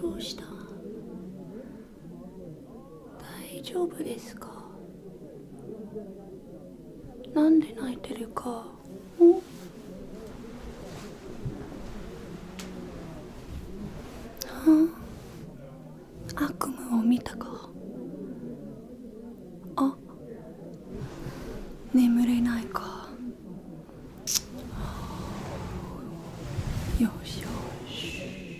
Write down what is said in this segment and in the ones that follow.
どうした大丈夫ですかなんで泣いてるかあ悪夢を見たかあ眠れないかよしよし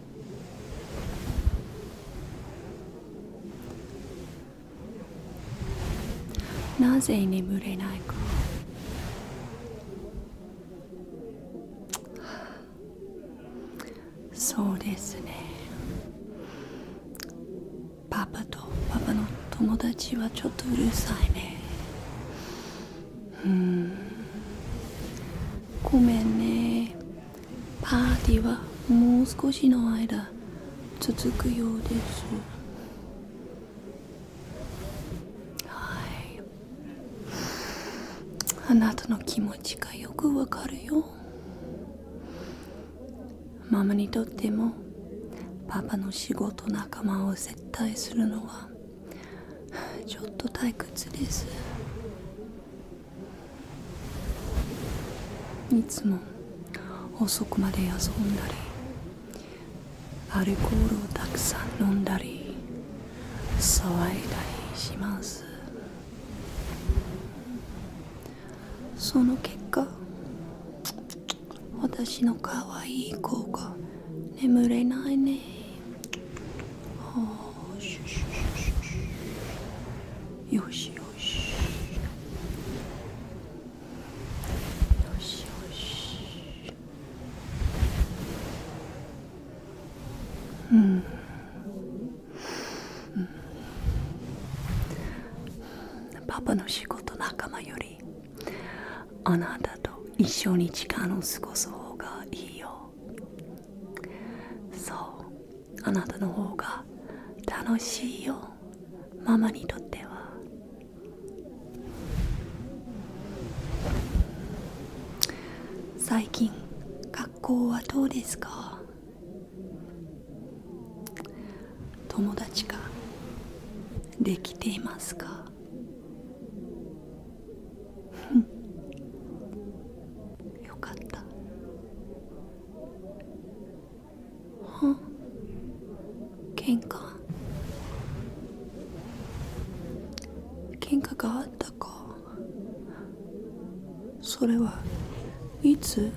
なぜ眠れないかそうですねパパとパパの友達はちょっとうるさいねうんごめんねパーティーはもう少しの間続くようですはいあなたの気持ちがよくわかるよママにとってもパパの仕事仲間を接待するのはちょっと退屈ですいつも遅くまで遊んだりアルコールをたくさん飲んだり騒いだりしますその結果私の可愛い子が眠れないねよしよしよしよしうん、うん、パパの仕事仲間よりあなたと一緒に時間を過ごす方がいいよそうあなたの方が楽しいよママにとっては最近学校はどうですか友達ができていますか よかったは喧嘩喧嘩があったかそれはいつ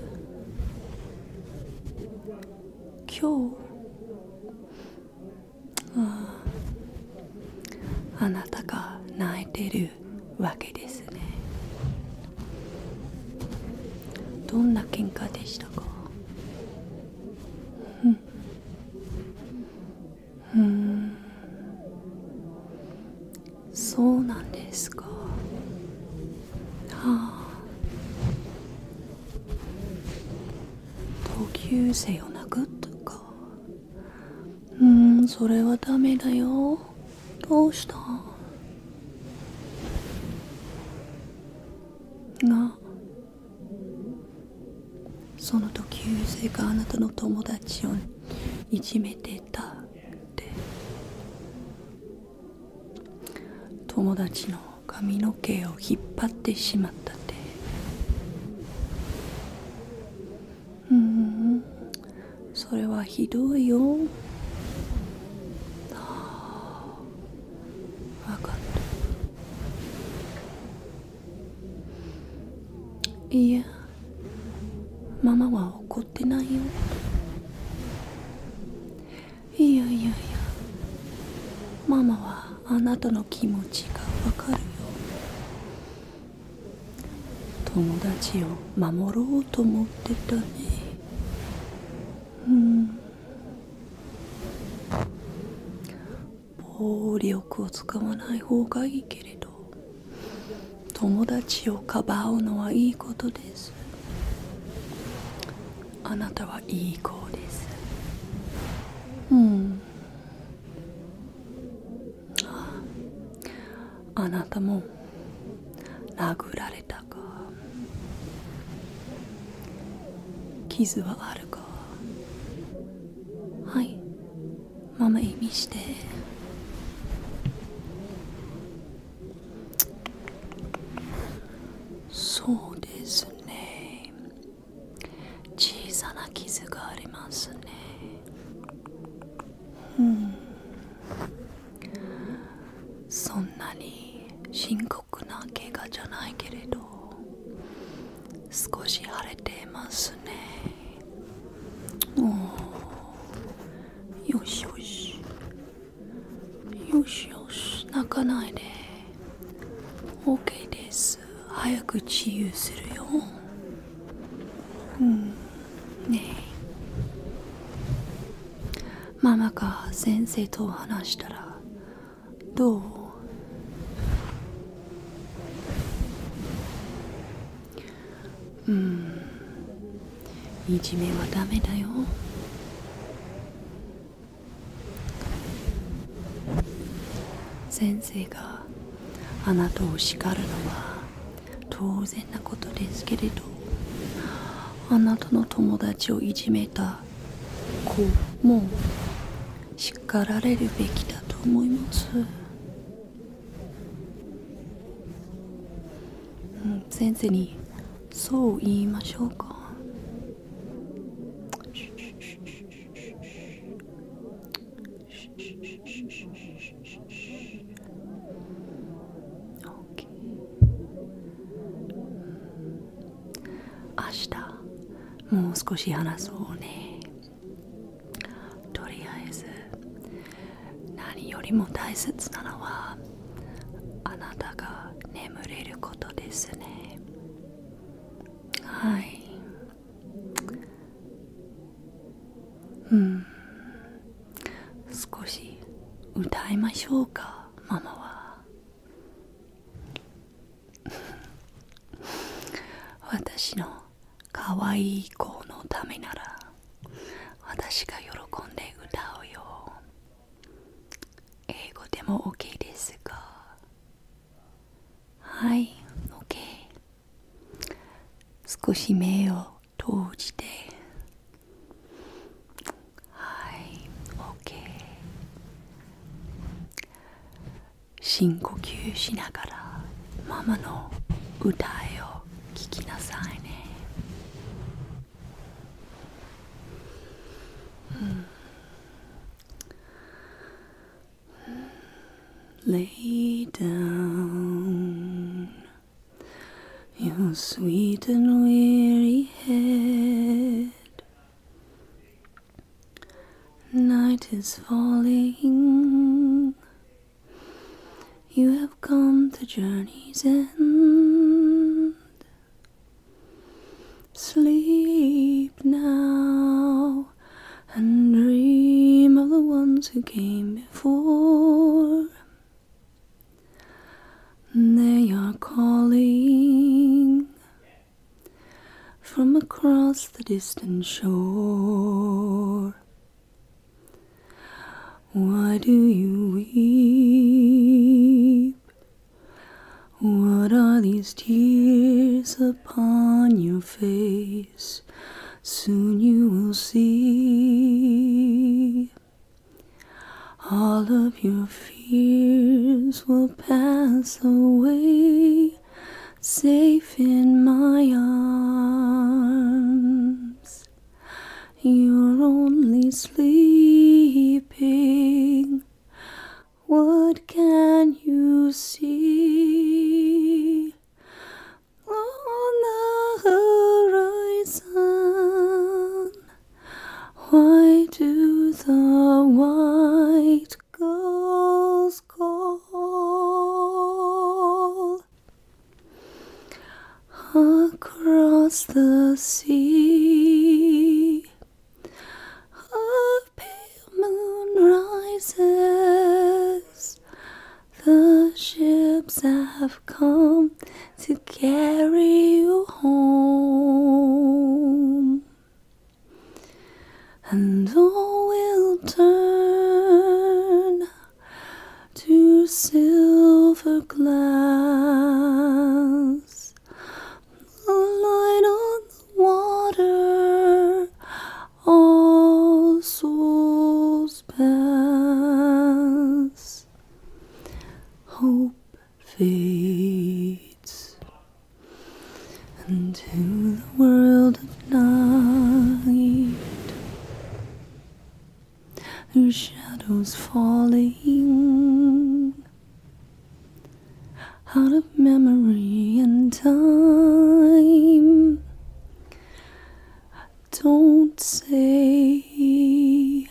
今日あああなたが泣いてるわけですねどんな喧嘩でしたかうんうんそうなんですかはあ同級生を殴ったかうんそれはダメだよどうしたがその同級生があなたの友達をいじめてたって友達の髪の毛を引っ張ってしまったってうんそれはひどいよああ分かったいやママは怒ってないよいやいやいやママはあなたの気持ちがわかるように。友達を守ろうと思ってたねうん暴力を使わない方がいいけれど友達をかばうのはいいことですあなたはいい子ですうんあなたも殴られたか傷はあるかはいママ意味してそうですね小さな傷がありますね、そんなに深刻な怪我じゃないけれど少し腫れてますねおよしよしよしよし泣かないで OK です早く治癒するようんねえママが先生と話したらどううんいじめはダメだよ先生があなたを叱るのは当然なことですけれどあなたの友達をいじめた子も叱られるべきだと思いますうん先生にそう言いましょうか明日もう少し話そうねとりあえず何よりも大切なのはあなたが眠れることですねはいうん少し歌いましょうかママは 私のかわいい子のためなら私が喜んで歌うよ英語でも OK ですがはい OK 少し目を閉じてはい OK 深呼吸しながらママの歌を聞きなさいね Hmm. Lay down your sweet and weary head. Night is falling, you have come to journey's end. Sleep now and dream of the ones who came before. They are calling from across the distant shore. Why do you weep? What are these tears upon your face? Soon you will see. All of your fears will pass away, safe in my arms. You're only sleeping. What can you see on the horizon? Why do the white gulls call? across the sea. A pale moon rises, the ships have come to carry you home, and all will turn to silver glass. The light on the water, all souls pass. Hope fades into the world of night the shadows falling out of memory and time. Don't say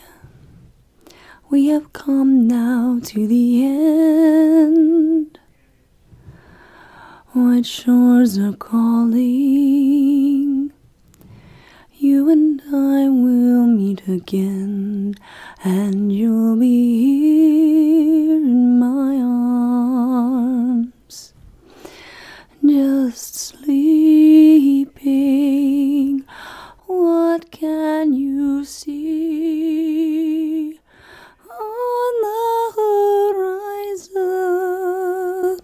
we have come now to the end. White shores are calling. You and I will meet again, and you'll be here in my arms. Just sleeping, what can you see on the horizon?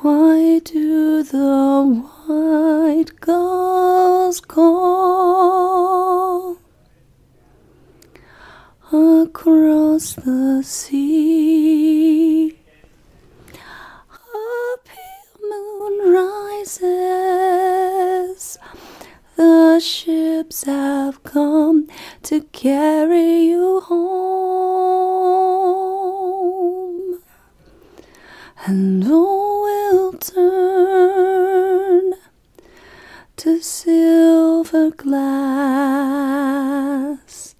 Why do the white gulls call across the sea? A moon rises, the ships have come to carry you home, and all will turn to silver glass,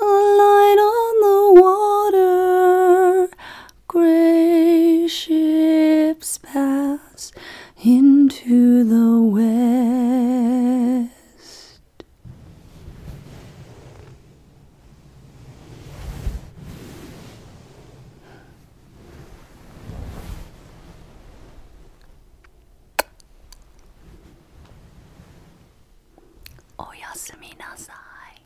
a light on the water, gray ships pass into the west. rest. Oh, Yasminasai.